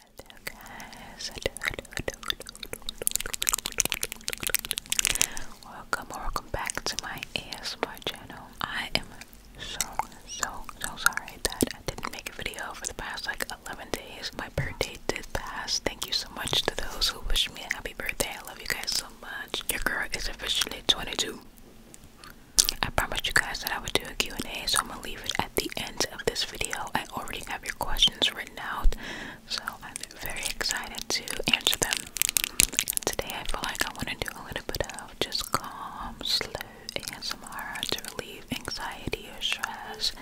Hello guys, Welcome welcome back to my ASMR channel. I am so, so, so sorry that I didn't make a video for the past like 11 days. My birthday did pass. Thank you so much to those who wish me a happy birthday. I love you guys so much. Your girl is officially 22. I promised you guys that I would do a Q&A, so I'm gonna leave it at the end of this video I already have your questions written out, so I'm very excited to answer them. today, I feel like I want to do a little bit of just calm, slow and some more to relieve anxiety or stress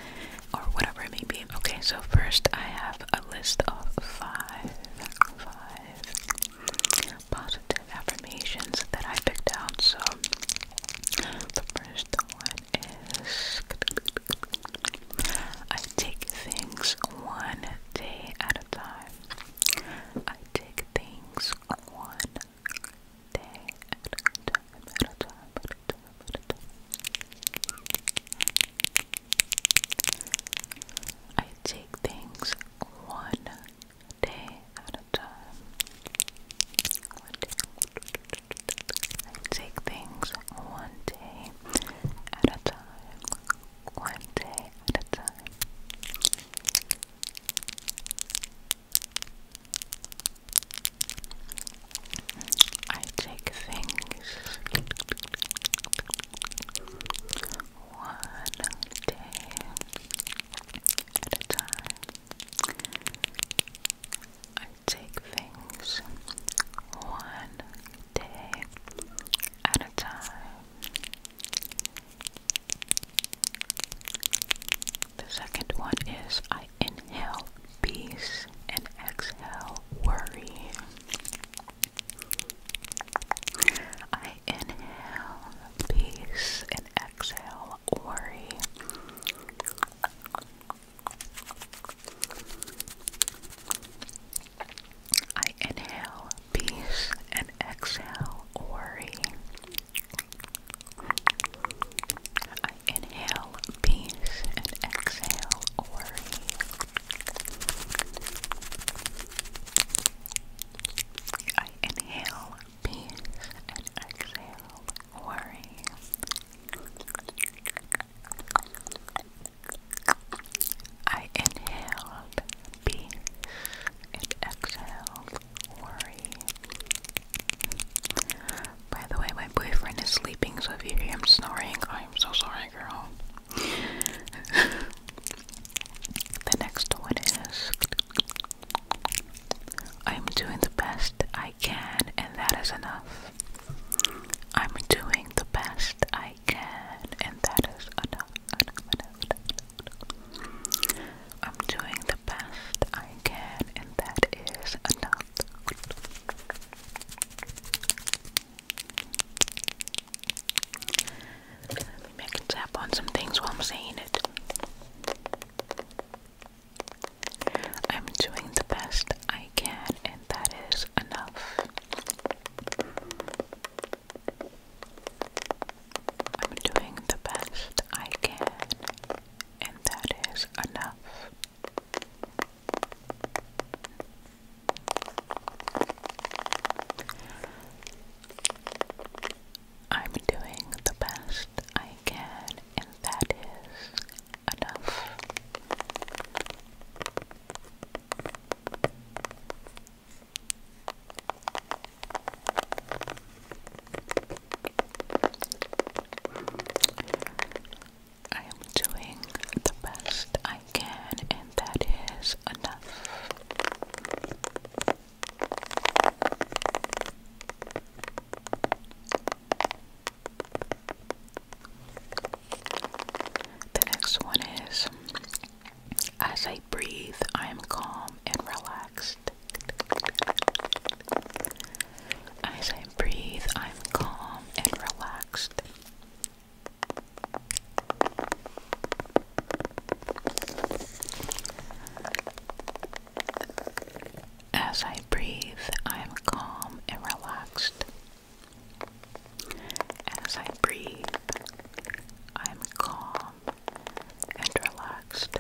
or whatever it may be. Okay, so first, I have a list of five, five positive affirmations that I picked out. So the first one is I take things one day at a time. I take things one day at a time, I take things one day at a time. I take things one day at a time. One day at a time. I take things one day at a time take things one day at a time. The second one is I inhale peace and exhale worry. I inhale peace and exhale worry. I inhale peace and exhale worry. I inhale peace and exhale worry. I inhale peace and exhale worry. I inhaled peace and exhaled worry. By the way, my boyfriend is sleeping, so if you hear him snoring, I'm so sorry, girl. the next one is I'm doing the best I can, and that is enough. I'm doing the best I can, and that is enough. I'm doing the best I can, and that is enough. Let me tap on some things while I'm saying it. I'm doing the best I can, and that is enough. I'm doing the best I can, and that is enough. I'm doing the best I can, and that is enough. I am doing the best I can, and that is enough. The next one is As I breathe, I am calm and relaxed. As I breathe, I am calm and relaxed. As I breathe, I am calm and relaxed. As I breathe, I am calm and relaxed.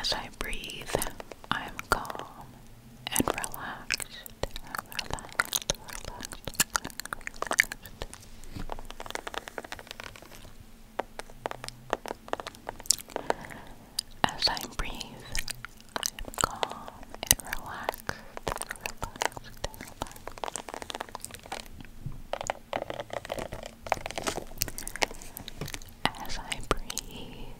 As I breathe, I am calm and relaxed. As I breathe, I am calm and relaxed, As I breathe,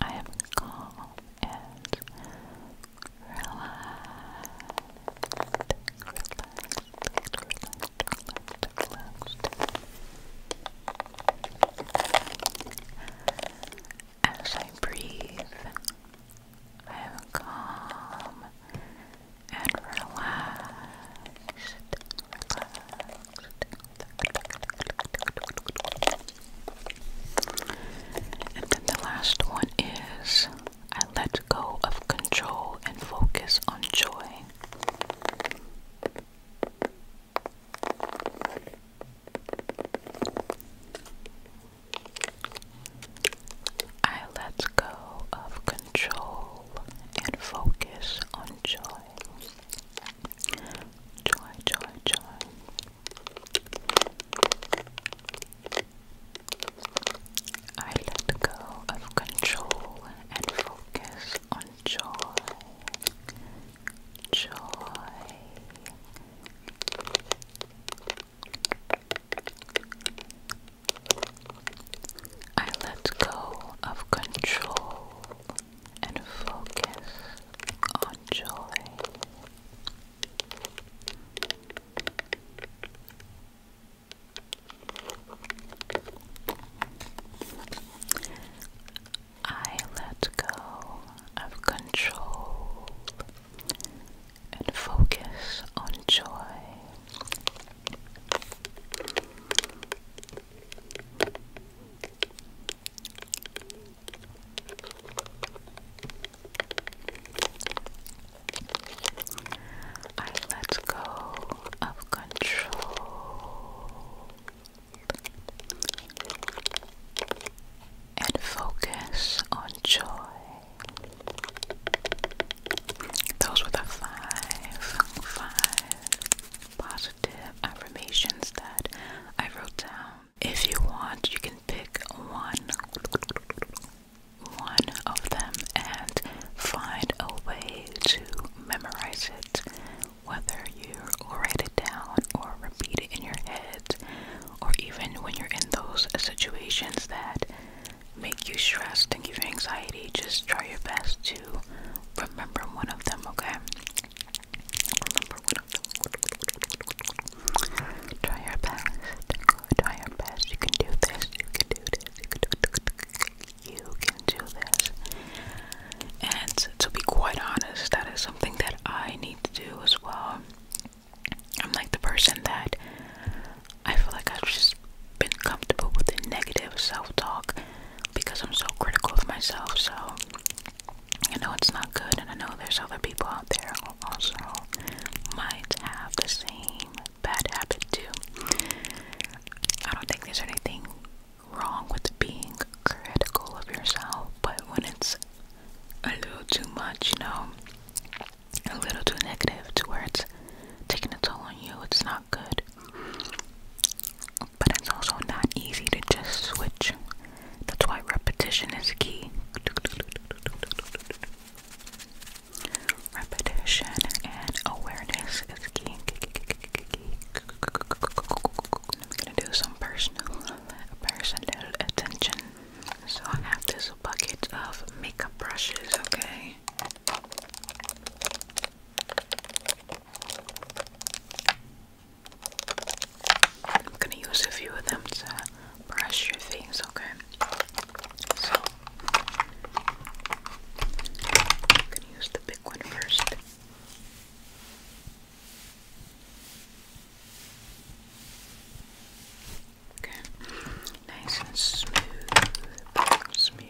I am calm and relaxed. As I breathe, I am calm and relaxed. And then the last one is I let go of control and focus on joy. I let go of control and focus on joy. Joy, joy, joy. I let go of control and focus on joy. Joy. I let go of control and focus on joy. I let go of control and focus on joy. I let go of control and focus on joy. Those were the five, five positive affirmations that I wrote down. If you want, you can pick one one of them and find a way to memorize it, whether you write it down or repeat it in your head, or even when you're in those situations that make you stressed and give you anxiety, just try your best to remember one of them, okay? Try your best. Try your best. You can do this. You can do this. You can do this. You can do this. And to be quite honest, that is something that I need to do as well. I'm like the person that I feel like I've just been comfortable with the negative self talk because I'm so critical of myself. So I know it's not good, and I know there's other people out there who also might have the same bad habit too. I don't think there's anything wrong with being critical of yourself, but when it's a little too much, you know, a little too negative to where it's taking a toll on you, it's not good. But it's also not easy to just switch. That's why repetition is key. Repetition and awareness I'm gonna do some personal, personal attention. So I have this bucket of makeup brushes. Okay. I'm gonna use a few of them to brush your things. okay? So I'm gonna use the big one first. Okay. Nice and smooth. Smooth.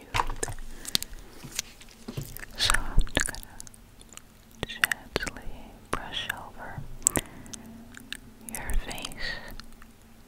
So I'm gonna gently brush over your face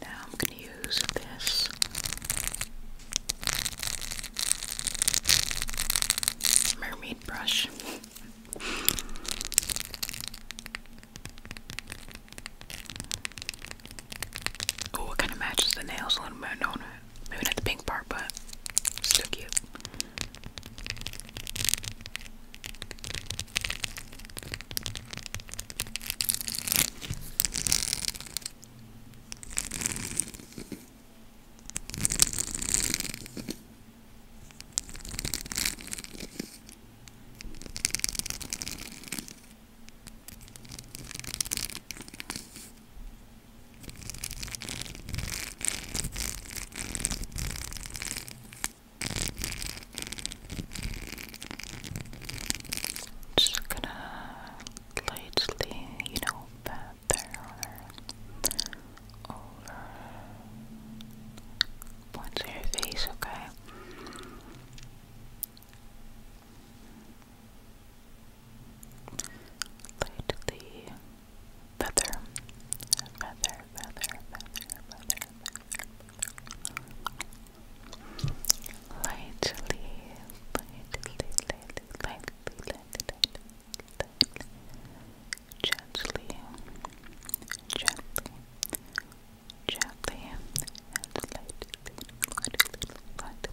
Now I'm going to use this mermaid brush. oh, it kind of matches the nails a little bit, do it? Maybe not the pink part, but still cute. Just gonna lightly, you know, pat there over points of your face, okay? Lightly feather, feather, feather, feather, Lightly, lightly, lightly, lightly, gently, gently, gently, lightly, lightly, lightly, lightly.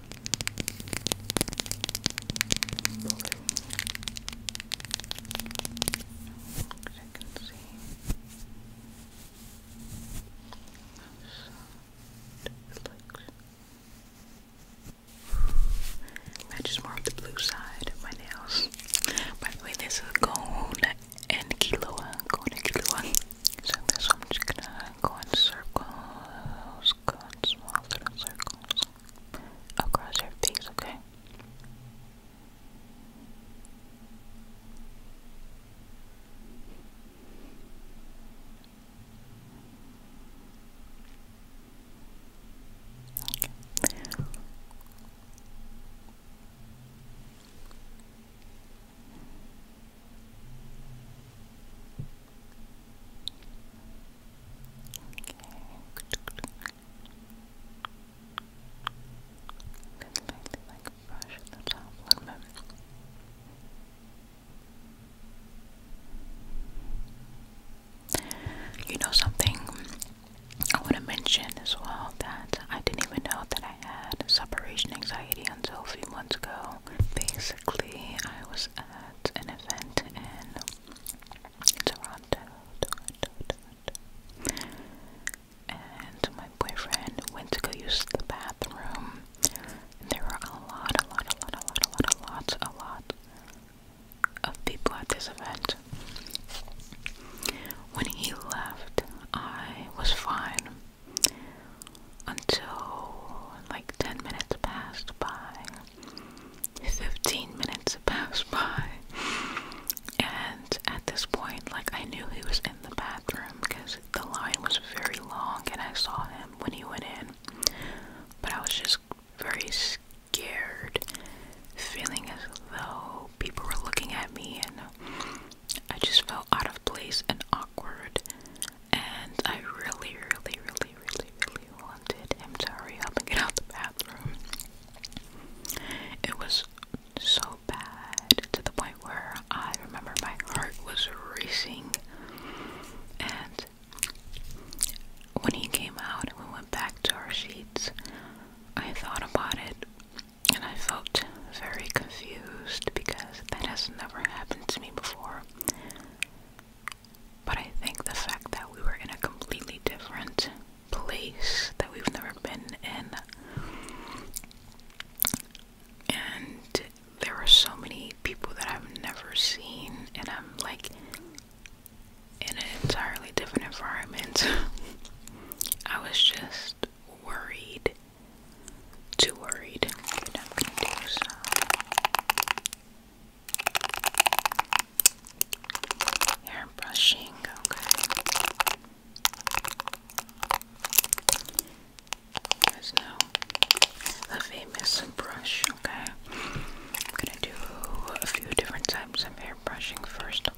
blue. Matches more of the blue side of my nails. By the way, this is gold and Kilua. Gold and So I'm just gonna go in circles go in small little circles across your face, okay. Okay. You know something I want to mention as well that I didn't even know that I had separation anxiety until a few months ago. Basically, I was at an event in Toronto, And my boyfriend went to go use the bathroom. there were a lot, a lot, a lot, a lot, a lot, a lot, a lot of people at this event. When he left, I was fine until like 10 minutes passed by, 15 minutes passed by, and at this point, like I knew he was in the bathroom because the line was very long and I saw him when he went in, but I was just very scared, feeling as though people were looking at me and I just felt out of place and awkward and I really, really, really, really, really wanted him to hurry up and get out the bathroom. It was so bad to the point where I remember my heart was racing. And when he came out we went back to our sheets. I thought about it and I felt very confused because that has never happened to me before. But I think the fact that we were in a completely different place that we've never been in, and there are so many people that I've never seen, and I'm like in an entirely different environment. I was just worried too worried. Hair brushing, okay. There's no the famous brush, okay. I'm gonna do a few different types of hair brushing first, okay.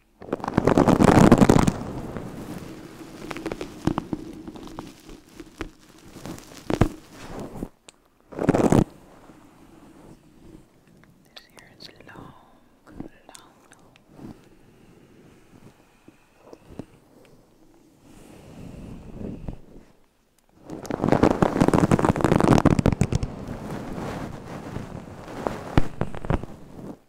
This hair is long, long, long. This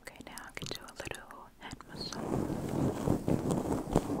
Okay, now I can do a little head massage.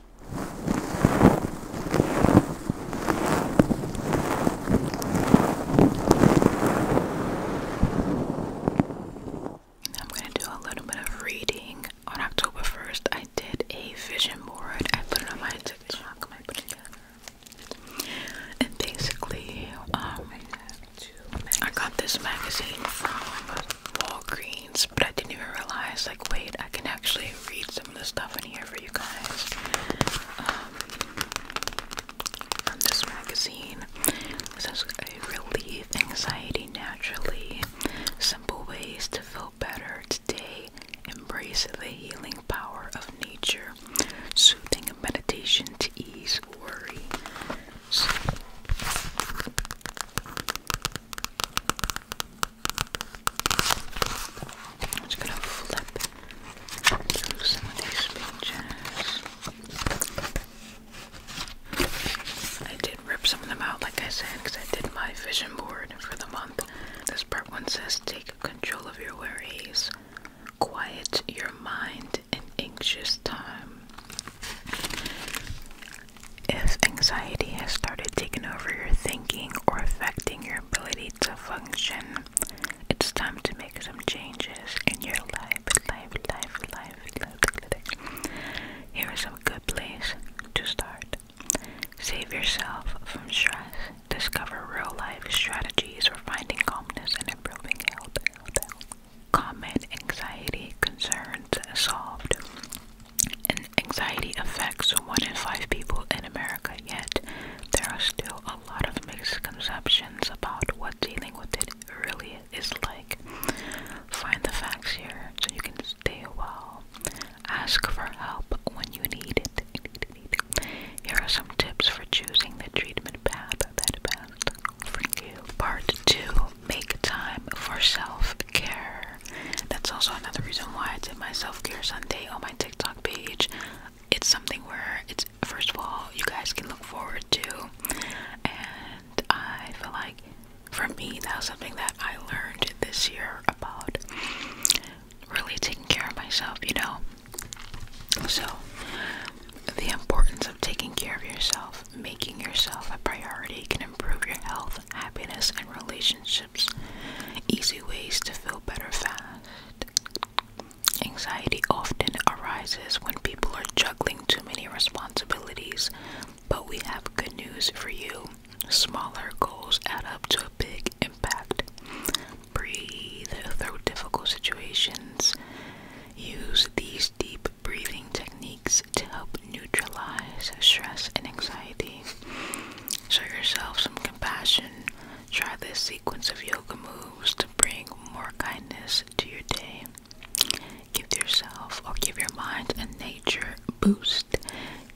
I'm gonna do a little bit of reading. On October 1st, I did a vision board. I put it on my TikTok, I put And basically, um, I got this magazine from Walgreens but I didn't even realize, like, wait, I can actually read some of the stuff in here for you guys. Um, from this magazine, this is a relief anxiety naturally, simple ways to feel better today, embrace the healing power of nature, soothing meditation to ease worry. I'm just gonna flip through some of these pages. I did rip some of them out, like I said, because I did my vision board for the month. This part one says take control of your worries, quiet your mind in anxious time. If anxiety has started taking over your thinking or affecting your ability to function, it's time to make some changes in your life, life, life, life, life. Here is a good place to start. Save yourself from stress. Discover real life strategies for finding calmness and improving health. Common anxiety concerns solved and anxiety affects one in five people in America, yet there are still a lot of misconceptions about what dealing with it really is like. Find the facts here so you can stay well. Ask for help when you need it. Here are some tips for choosing the treatment path that best for you. Part 2 Make time for self care. That's also another reason why I did my self care Sunday on my TikTok page. It's something where it's first of all you guys can look forward to, and I feel like for me that was something that I learned this year about really taking care of myself. You know, so the importance of taking care of yourself, making yourself a priority, can improve your health happiness, and relationships. Easy ways to feel better fast. Anxiety often arises when people are juggling too many responsibilities, but we have good news for you. Smaller goals add up to a big impact. Breathe through difficult situations. Use these deep breathing techniques to help neutralize stress and anxiety. Show yourself some compassion. Try this sequence of yoga moves to bring more kindness to your day. Give yourself or give your mind a nature boost.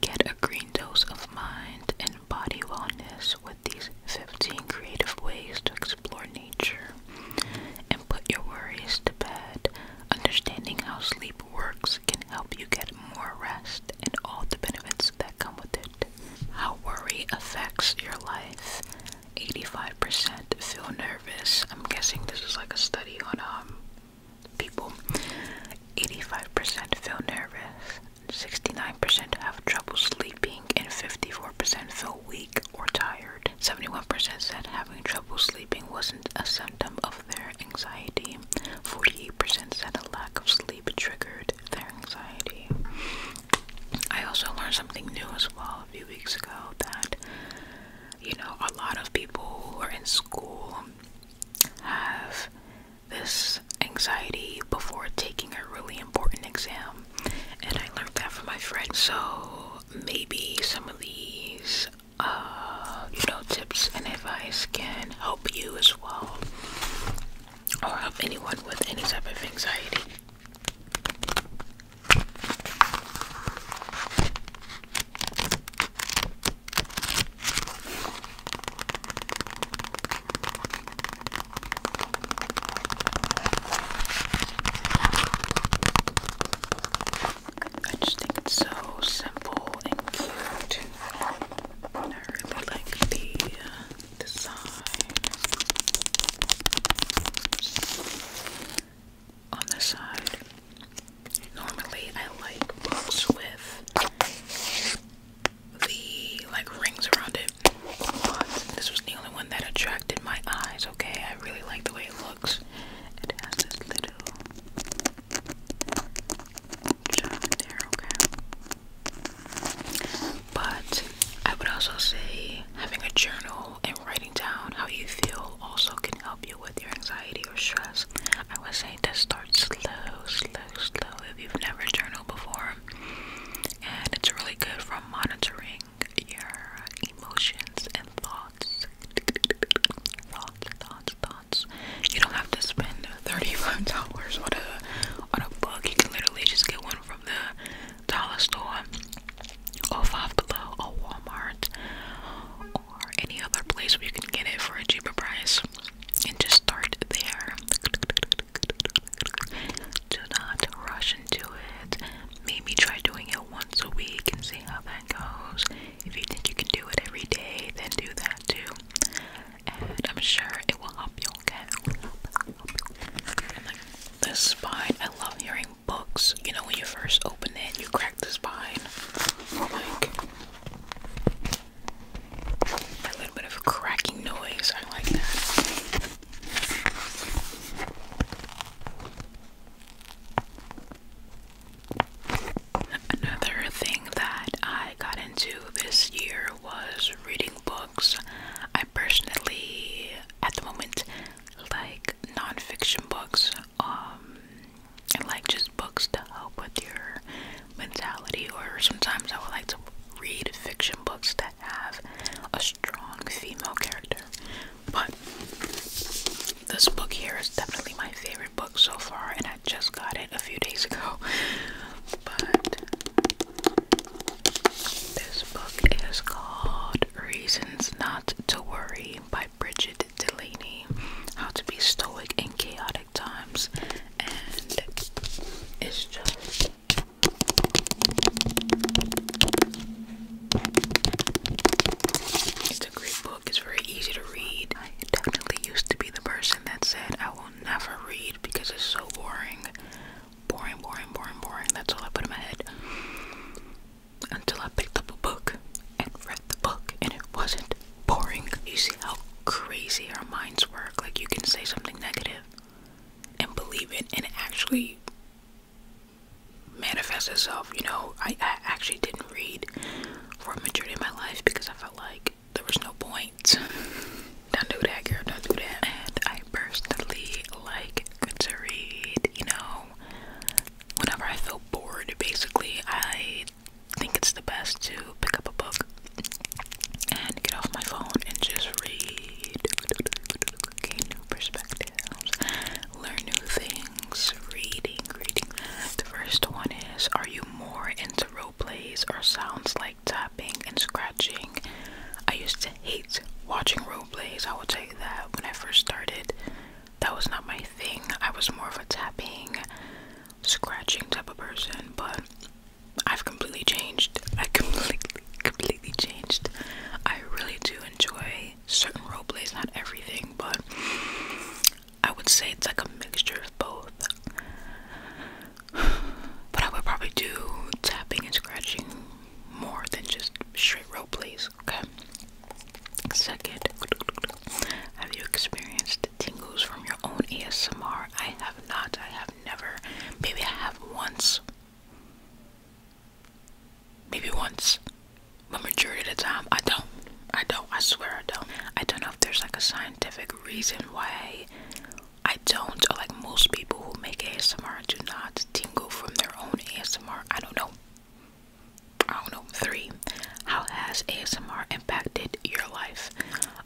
Get a green dose of mind and body wellness with these 15 creative ways to explore nature and put your worries to bed. Understanding how sleep works can help you get more rest and all the benefits that come with it. How worry affects your life. 85% feel nervous. I'm guessing this is like a study on um people. 85% feel nervous. 69% have trouble sleeping and 54% feel weak or tired. 71% said having trouble sleeping wasn't a of their anxiety. 48% said a lack of sleep triggered their anxiety. I also learned something new as well a few weeks ago that, you know, a lot of people who are in school have this anxiety before taking a really important exam. And I learned that from my friend. So maybe some of these uh, you know, tips and advice can help you as well, or help anyone with any type of anxiety. I just think it's so simple and cute. I really like the uh, design. On the side, normally I like books with the like rings around it, but this was the only one that attracted my eyes. Okay, I really like the way it looks. It has this little but I would also say having a journal and writing down how you feel also can help you with your anxiety or stress. I would say to start slow, slow, slow if you've never journaled before. And it's really good for monitoring your emotions and thoughts Thoughts, thoughts, thoughts. You don't have to spend thirty-five dollars on a on a book. You can literally just get one from the dollar store, or Five Below, or Walmart, or any other place where you can get it for a cheaper price, and just start there. Do not rush into it. Maybe try doing it once a week and see how that goes. If you think you can do it every day, then do that too. And I'm sure it will help you, okay? the spine, I love hearing books. You know, when you first open it, you crack the spine. a little bit of cracking noise. I like that. Another thing that I got into this year was reading books. I personally, at the moment, like nonfiction books, um, and like just books to help with your mentality. Or sometimes I would like to read fiction books that have a strong female character. But this book here is definitely my favorite book so far, and I just got it a few days ago. But this book is called Reasons Not to Worry by Bridget Delaney How to Be Stoic in Chaotic Times, and it's just. It's a great book. It's very easy to read. I definitely used to be the person that said I will never read because it's so boring. Boring, boring, boring, boring. That's all I put in my head. Until I picked up a book and read the book and it wasn't boring. You see how crazy our minds work. Like you can say something negative and believe it and actually manifest itself. You know, I, actually didn't read for a majority of my life because I like there was no point. don't do that, girl. Don't do that. And I personally like to read. You know, whenever I feel bored, basically, I think it's the best to pick up a book and get off my phone and just read. Gain new perspectives, learn new things. Reading, reading. The first one is: Are you more into role plays or sounds like tapping and scratching. I used to hate watching role plays, I will tell you that when I first started, that was not my thing. I was more of a tapping, scratching type of person, but I've completely changed. I completely completely changed. I really do enjoy certain role plays, not everything, but I would say it's like a mixture of both. But I would probably do tapping and scratching more than just straight role plays, okay? Second, have you experienced tingles from your own ASMR? I have not. I have never. Maybe I have once. Maybe once. But majority of the time, I don't. I don't. I swear I don't. I don't know if there's like a scientific reason why I don't, or like most people who make ASMR do not tingle from their own ASMR. I don't know. I don't know. Three, how has ASMR impacted your life?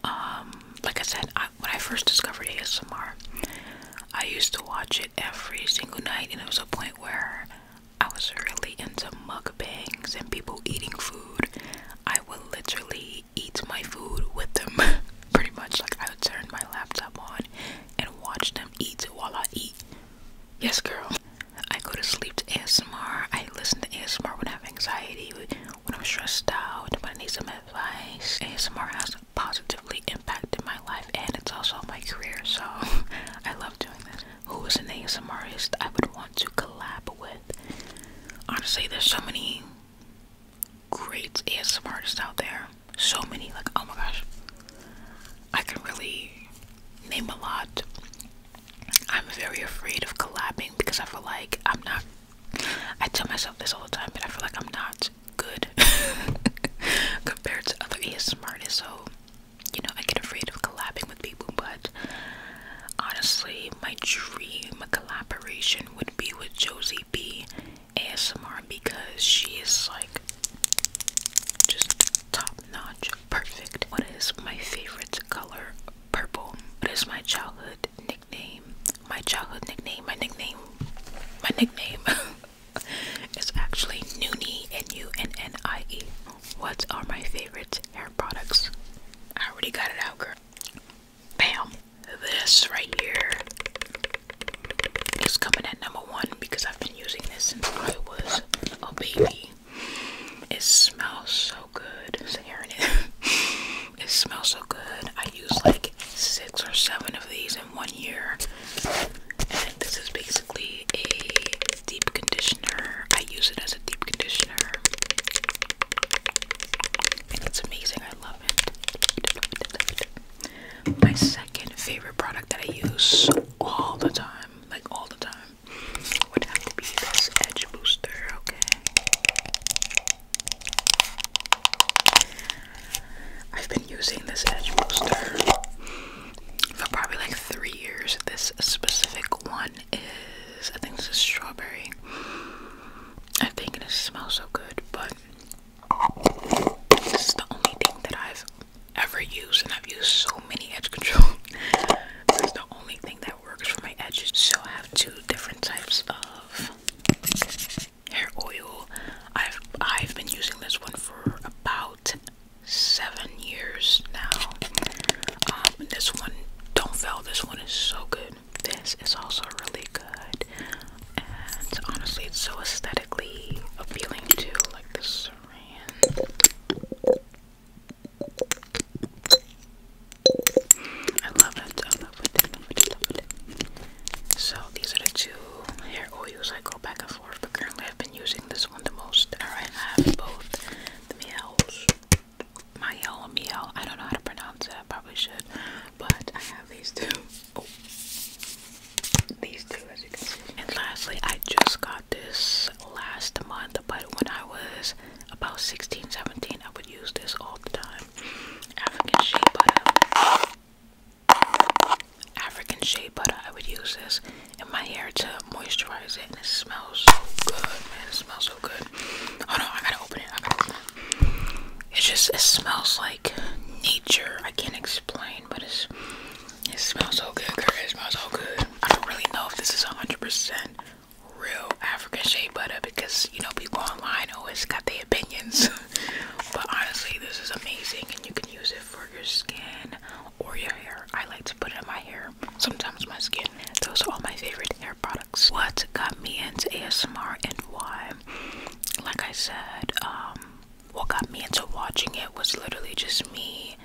Um, like I said, I, when I first discovered ASMR, I used to watch it every single night, and it was a point where I was really into mukbangs and people eating food. I would literally eat my food with them pretty much. Like, I would turn my laptop on and watch them eat while I eat. Yes, girl. I go to sleep to ASMR. I listen to ASMR when I have anxiety, when I'm stressed out, when I need some advice. ASMR has positively impacted my life and it's also my career, so I love doing this who is an ASMR artist I would want to collab with. Honestly, there's so many great ASMR artists out there. So many, like, oh my gosh. I can really name a lot. I'm very afraid of collabing because I feel like I'm not. I tell myself this all the time, but I feel like I'm not good compared to other ASMR artists. So, you know, I get afraid of collabing with people, but Honestly, my dream collaboration would be with Josie B ASMR because she is like just top notch, perfect. What is my favorite color? Purple. What is my childhood nickname? My childhood nickname, my nickname, my nickname is actually Noonie, N U N N I E. What are my favorite hair products? I already got it out, girl. Bam. This right here is coming at number one because I've been using this since I was a baby. It smells so good. here it is. It smells so good. I used like six or seven of these in one year. And this is basically a deep conditioner. I use it as a deep conditioner. And it's amazing. I love it. My second favorite product that I use all the time, like all the time, would have to be this Edge Booster, okay? I've been using this Edge Booster for probably like three years. This specific one I think this is strawberry. I think it smells so good, but this is the only thing that I've ever used, and I've used so many edge control. this is the only thing that works for my edges. So I have two different types of hair oil. I've I've been using this one for about seven years now. Um, this one don't fail. This one is so good. This is also really good, and honestly, it's so aesthetically appealing too. Like the saran. I love it. I love it. I love it. So these are the two hair oils I go back and forth, but currently I've been using this one the most. All right, I have both the meows. Miel Miel. I don't know how to pronounce it. I probably should. But I have these two. Oh. These two as you can see. And lastly, I just got this last month, but when I was about 16, 17, I would use this all the time. African shea butter. African shea butter. I would use this in my hair to moisturize it, and it smells so good, man. It smells so good. Oh no, I gotta open it. it. just it smells like nature. I can't explain, but it's it smells so good, It smells so good. I don't really know if this is 100% real African shea butter because you know people online always got their opinions. but honestly, this is amazing, and you can use it for your skin or your hair. I like to put it in my hair sometimes my skin. Those are all my favorite hair products. What got me into ASMR and why? Like I said, um, what got me into watching it was literally just me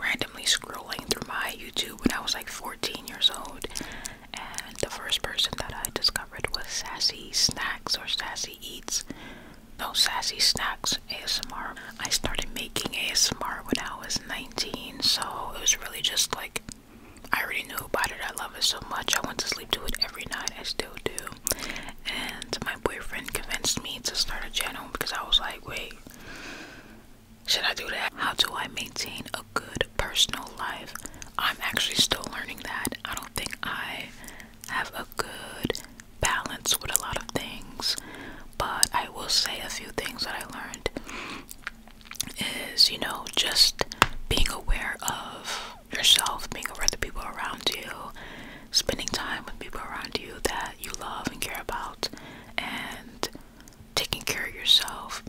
randomly scrolling through my YouTube when I was like 14 years old. And the first person that I discovered was Sassy Snacks or Sassy Eats. No, Sassy Snacks ASMR. I started making ASMR when I was nine so it was really just like I already knew about it. I love it so much. I went to sleep to it every night. I still do. And my boyfriend convinced me to start a channel because I was like, wait, should I do that? How do I maintain a good personal life? I'm actually still learning that. I don't think I have a good balance with a lot of things, but I will say a few things that I learned is, you know, just being aware of yourself, being aware of the people around you, spending time with people around you that you love and care about, and taking care of yourself,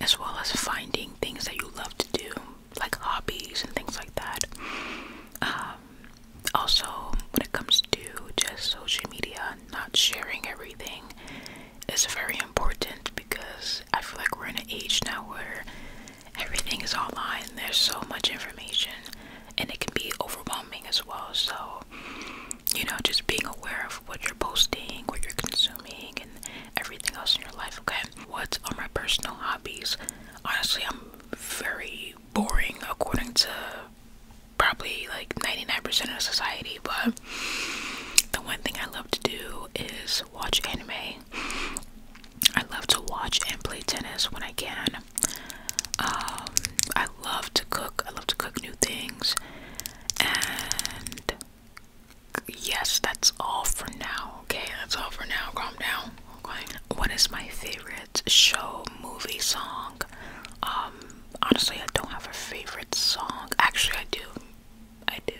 as well as finding things that you love to do, like hobbies and things like that. Um, also, when it comes to just social media, not sharing everything is very important because I feel like we're in an age now where everything is online. There's so much information and it can be overwhelming as well. So, you know, just being aware of what you're posting, what you're consuming, and everything else in your life. Okay, what are my personal hobbies? Honestly, I'm very boring according to probably like 99% of society, but the one thing I love to do is watch anime. I love to watch and play tennis when I can. Um, I love to cook. I love to cook new things. And yes, that's all for now. Okay, that's all for now. Calm down. Okay. What is my favorite show, movie, song? Um, honestly, I don't have a favorite song. Actually, I do. I do.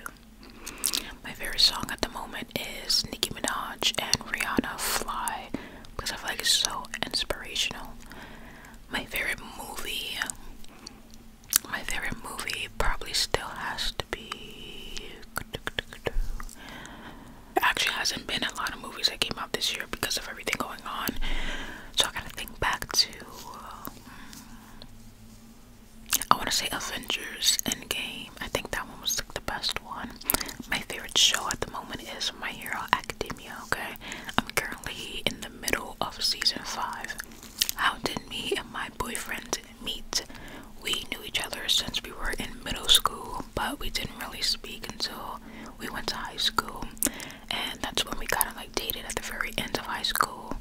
My favorite song at the moment is Nicki Minaj and Rihanna Fly because I feel like it's so inspirational. My favorite movie, my favorite movie probably still has to be. actually hasn't been a lot of movies that came out this year because of everything going on. So I gotta think back to. Um, I want to say Avengers Endgame. I think that one was like the best one. My favorite show at the moment is My Hero Academia. Okay, I'm currently in the middle of season five. How did me and my boyfriend meet? We knew each other since we were in middle school, but we didn't really speak until we went to high school and that's when we kind of like dated at the very end of high school.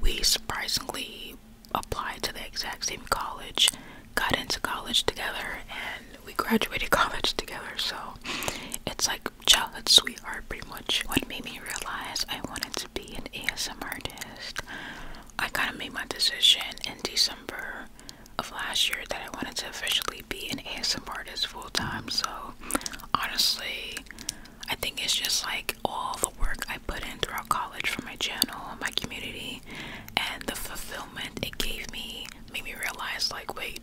We surprisingly applied to the exact same college, got into college together, and we graduated college together. So it's like childhood sweetheart, pretty much. What made me realize I wanted to be an ASMR artist, I kind of made my decision in December of last year that I wanted to officially be an ASMR artist full time. So honestly, I think it's just like all the work I put in throughout college for my channel and my community and the fulfillment it gave me made me realize like wait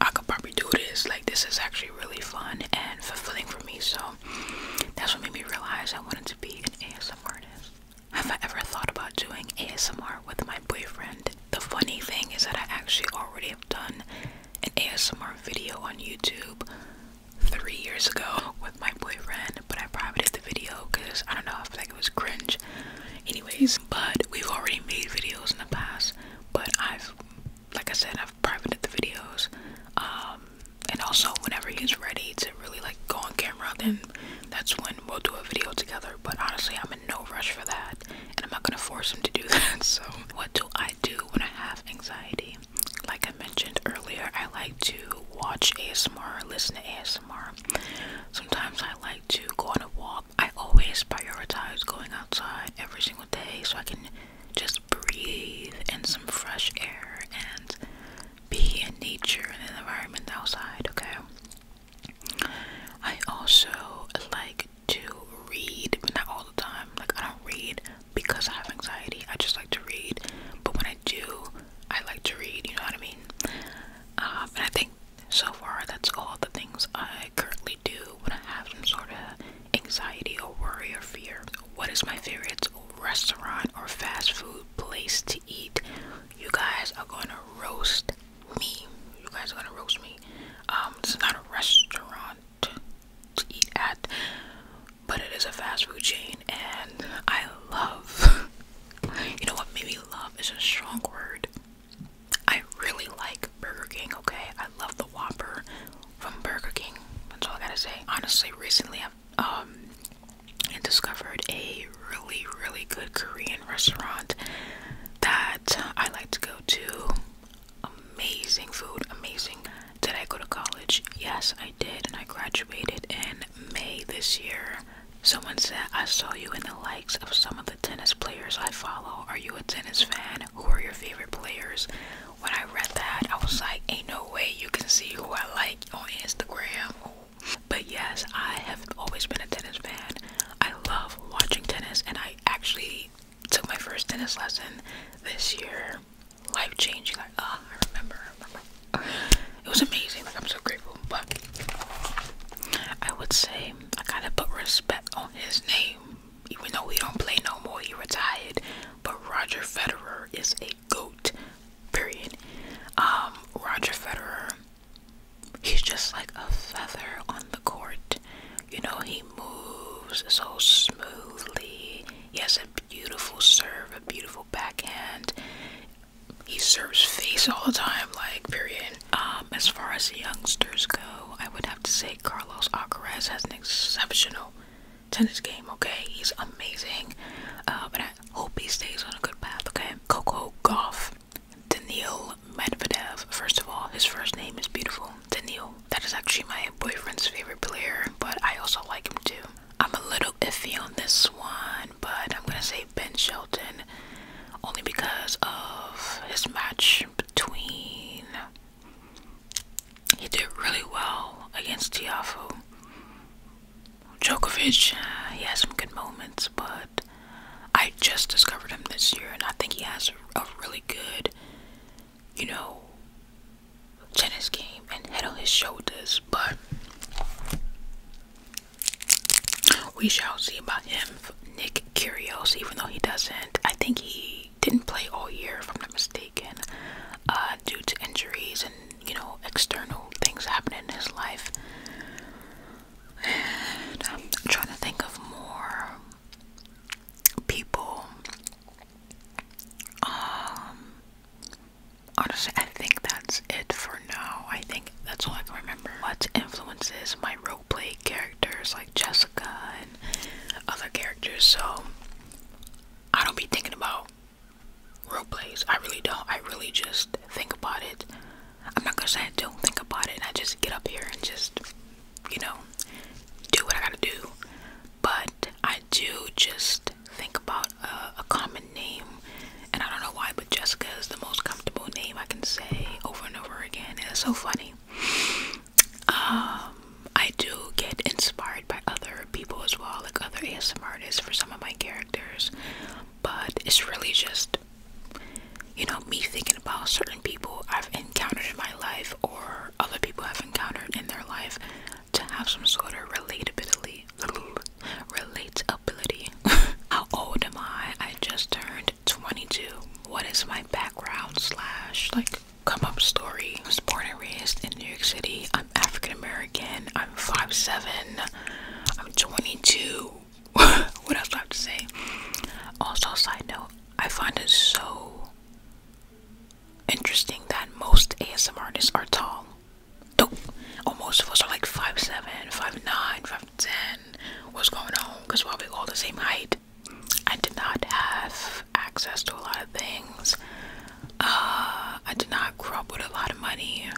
I could probably do this like this is actually really fun and fulfilling for me so that's what made me realize I wanted to be an ASMR artist. Have I ever thought about doing ASMR with my boyfriend? The funny thing is that I actually already have done an ASMR video on YouTube three years ago with my boyfriend, but I privated the video because I don't know, if feel like it was cringe. Anyways, but we've already made videos in the past, but I've, like I said, I've privated the videos. Um, and also, whenever he's ready to really like go on camera, then that's when we'll do a video together. But honestly, I'm in no rush for that, and I'm not gonna force him to do that. So, what do I do when I have? anxiety. Like I mentioned earlier, I like to watch ASMR, listen to ASMR. Sometimes I like to go on a walk. I always prioritize going outside every single day so I can just breathe in some fresh air and be in nature and an environment outside, okay? I also like to read, but not all the time. Like, I don't read because I have anxiety. I just like to read. But when I do, I like to read, you know what I mean? Um, and I think so far that's all the things I currently do when I have some sort of anxiety or worry or fear. What is my favorite restaurant or fast food place to eat? You guys are gonna roast me. You guys are gonna roast me. Um, it's not a restaurant to eat at, but it is a fast food chain, and I love. you know what? Maybe love is a strong word. I really like Burger King. Okay, I love the Whopper from Burger King. That's all I gotta say. Honestly, recently I've um, um discovered a really really good Korean restaurant that I like to go to amazing food, amazing. Did I go to college? Yes, I did, and I graduated in May this year. Someone said, I saw you in the likes of some of the tennis players I follow. Are you a tennis fan? Who are your favorite players? When I read that, I was like, ain't no way you can see who I like on Instagram. But yes, I have always been a tennis fan. I love watching tennis, and I actually took my first tennis lesson this year. Life changing. Like, ah, oh, I remember, remember. It was amazing. Like, I'm so grateful. But I would say I gotta put respect on his name, even though he don't play no more. He retired. But Roger Federer is a goat. Period. Um, Roger Federer. He's just like a feather on the court. You know, he moves so smoothly. He has a beautiful serve, a beautiful backhand. He serves face all the time, like, period. Um, as far as the youngsters go, I would have to say Carlos Alcaraz has an exceptional tennis game, okay? He's amazing. Uh, but I hope he stays on a good path, okay? Coco Golf, Daniil Medvedev. First of all, his first name is beautiful. Danil. That is actually my boyfriend's favorite player, but I also like him too. I'm a little iffy on this one, but I'm gonna say Ben Shelton only because of his match between. He did really well against Tiafo. Djokovic, uh, he has some good moments, but I just discovered him this year, and I think he has a really good you know, tennis game and head on his shoulders, but we shall see about him. Nick Curios, even though he doesn't, I think he didn't play all year, if I'm not mistaken, uh, due to injuries and you know external things happening in his life. And I'm trying to think of more people um, honestly I think that's it for now. I think that's all I can remember. What influences my roleplay characters like Jessica and other characters so I don't be thinking about roleplays. I really don't. I really just think about it. I'm not gonna say I don't think about it and I just get up here and just you know do what I gotta do but I do just think about a, common name, and I don't know why, but Jessica is the most comfortable name I can say over and over again. it's so funny. Um, I do get inspired by other people as well, like other ASMR artists for some of my characters, but it's really just you know me thinking about certain people I've encountered in my life or or other people have encountered in their life to have some sort of relatability. Relatability. How old am I? I just turned 22. What is my background slash like come up story? I was born and raised in New York City. I'm African American. I'm five 7 I'm 22. what else I have to say? Also, side note, I find it so Interesting that most ASM artists are tall. Nope. Oh, most of us are like 5'7, 5'9, 5'10. What's going on? Because while we're all the same height. I did not have access to a lot of things. Uh, I did not grow up with a lot of money.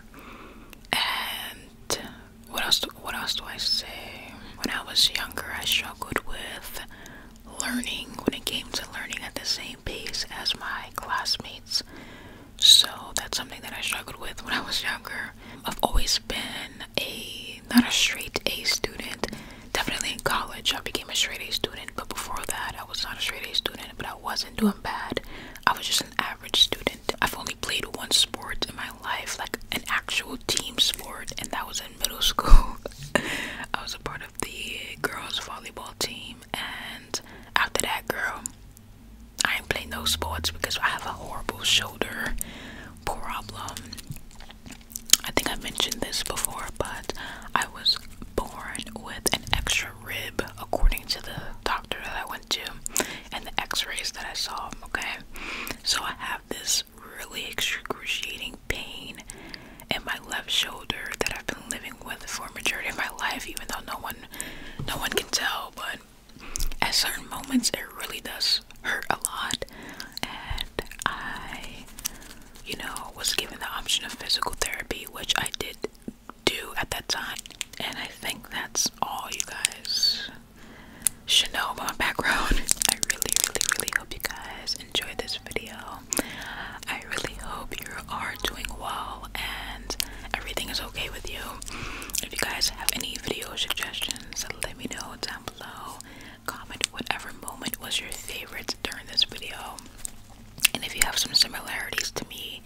And what else? What else do I say? When I was younger, I struggled with learning when it came to learning at the same pace as my classmates. So that's something that I struggled with when I was younger. I've always been a not a straight A student. Definitely in college, I became a straight A student, but before that, I was not a straight A student, but I wasn't doing bad. I was just an average student. I've only played one sport in my life, like an actual team sport, and that was in middle school. I was a part of the girls volleyball team and after that girl I ain't playing no sports because I have a horrible shoulder problem. I think I mentioned this before, but I was born with an extra rib according to the doctor that I went to and the x-rays that I saw, okay? So I have this really excruciating pain in my left shoulder that I've been living with for a majority of my life, even though no one no one can tell, but at certain moments it really does hurt a lot. And I, you know, was given the option of physical therapy, which I did do at that time. And I think that's all you guys should know about my background. I really, really, really hope you guys enjoyed this video. I really hope you are doing well and everything is okay with you. If you guys have any video suggestions, let me know down below. Comment whatever moment was your favorite during this video. And if you have some similarities to me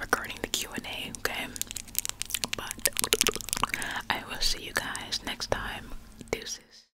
regarding the Q&A, okay? But I will see you guys next time. Deuces.